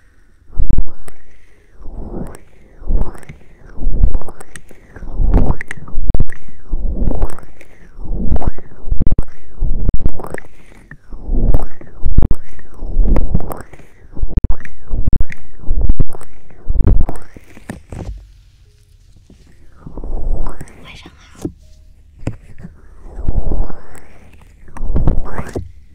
晚上好。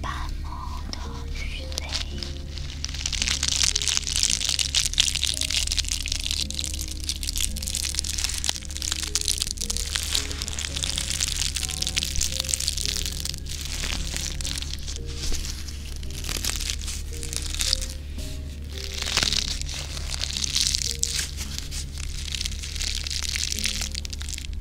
半梦的雨泪。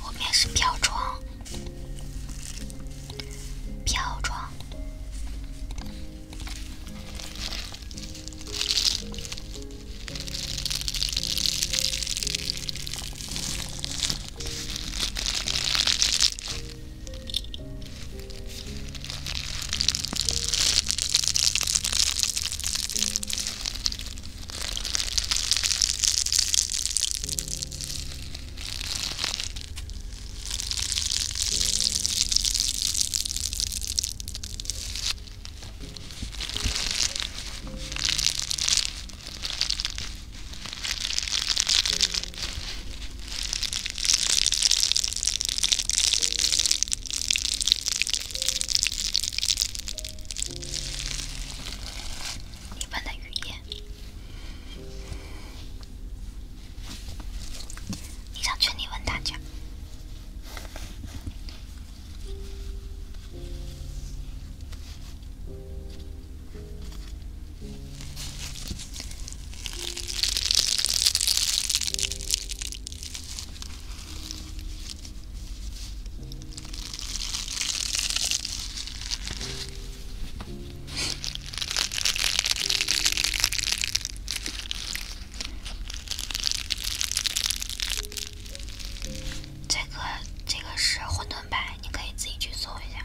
后面是飘窗。飘窗。你们的语言。你想全力问大家？这个这个是混沌牌，你可以自己去搜一下。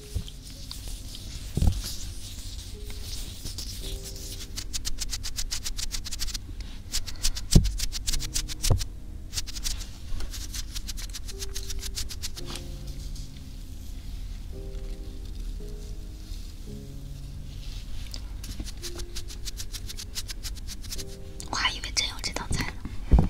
我还以为真有这道菜呢。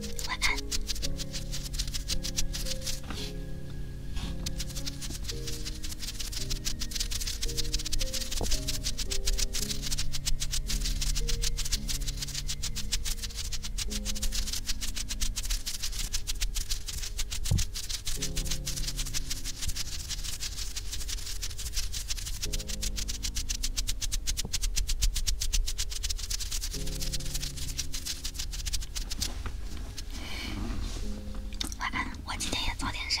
晚安。晚安，我今天也早点睡。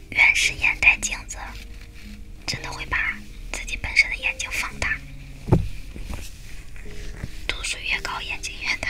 原始眼袋镜子，真的会把自己本身的眼睛放大。度数越高，眼睛越大。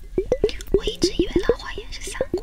我一直以为狼花岩是三国，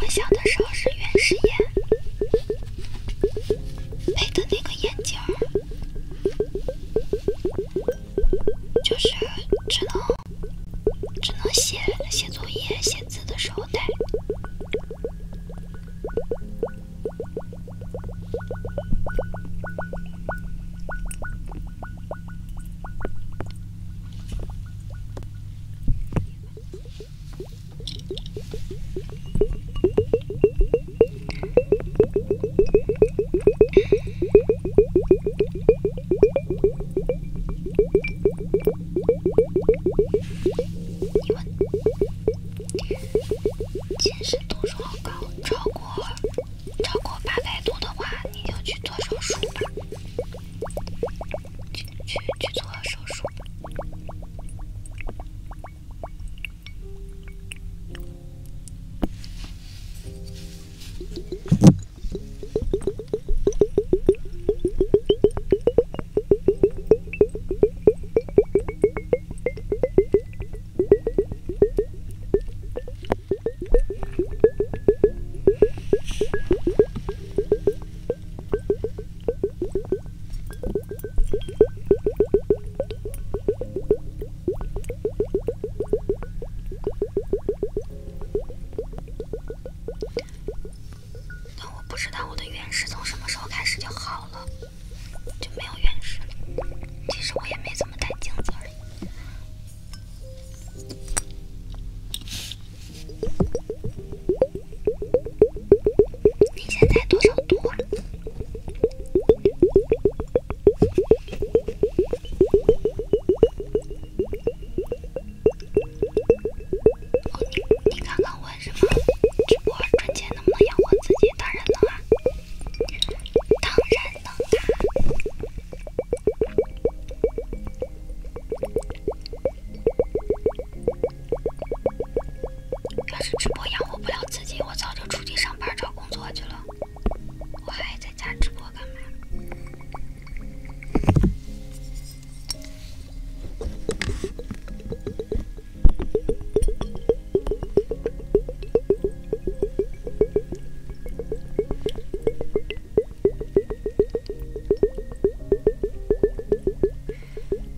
我小的时候是原始人。配的那个眼镜儿，就是只能只能写写作业、写字的时候戴。近视度数好高，超过超过八百度的话，你就去做手术吧。去去去，做手术。但我不知道我的原始从什么时候开始就好了，就没有原始了。其实我也没怎么戴镜子而已。你现在多少度？你你刚刚问什么？我春节能不能养活自己？当然能啊！当然能要是直播养活不了自己，我早就出去上班找工作去了。我还在家直播干嘛？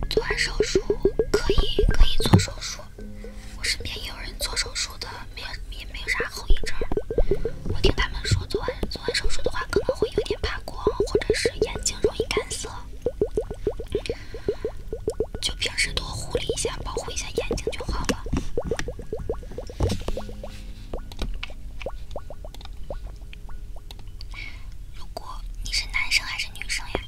做完手术可以，可以做手术。我身边也有人做手术的，没有也没有啥后遗症。我听他们说，做完做完手术的话，可能会有点怕光，或者是眼睛容易干涩，就平时多护理一下，保护一下眼睛就好了。如果你是男生还是女生呀？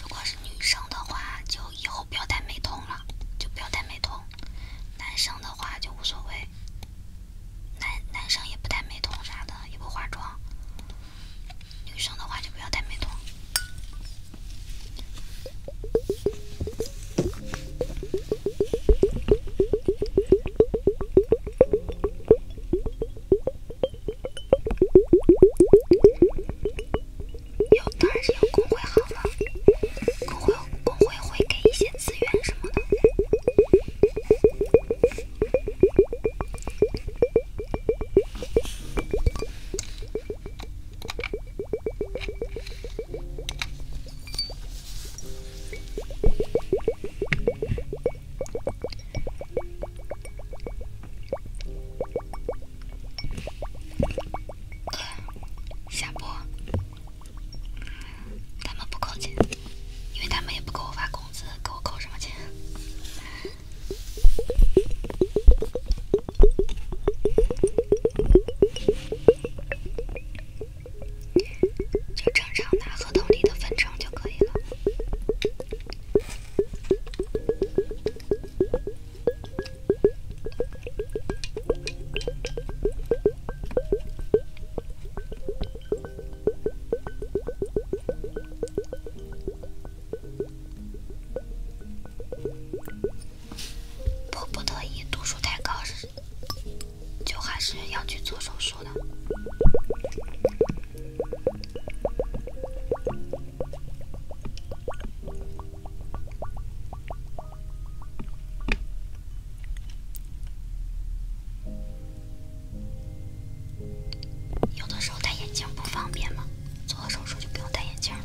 如果是女生的话，就以后不要戴美瞳了，就不要戴美瞳。男生的话就无所谓，男男生也不戴美瞳啥的，也不化妆。女生的话就不要戴美瞳。有，当然是有公会好了。公会，公会会给一些资源什么的。下播，他们不扣钱，因为他们也不给我发工资，给我扣什么钱？就正常拿合同里的分成就可以了。迫不得已，度数太高是。就还是要去做手术的。有的时候戴眼镜不方便嘛，做了手术就不用戴眼镜了。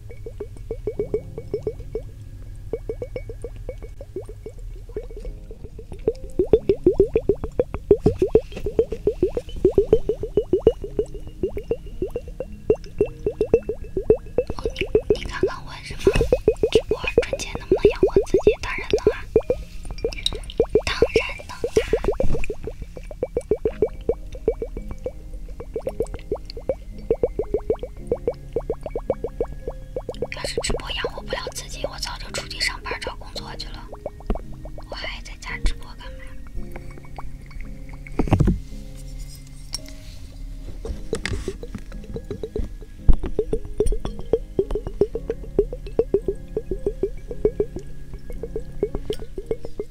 你刚刚问什么？我赚钱能不能养活自己？当然能啊，当然能啊。要是直播养活不了自己，我早就出去上班找工作去了。我还在家直播干嘛？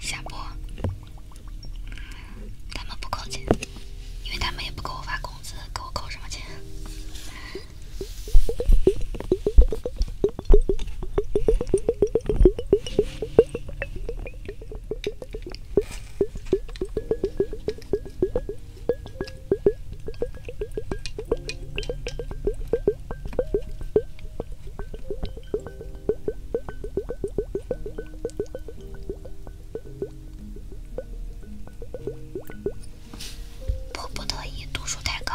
下播。他们不扣钱，因为他们也不给我发工资，给我扣什么钱？迫不得已，度数太高，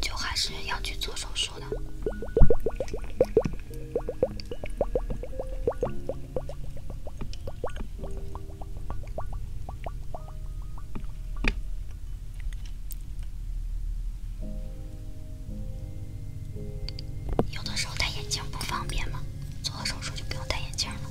就还是要去做手术的。有的时候戴眼镜不方便嘛，做了手术就不用戴眼镜了。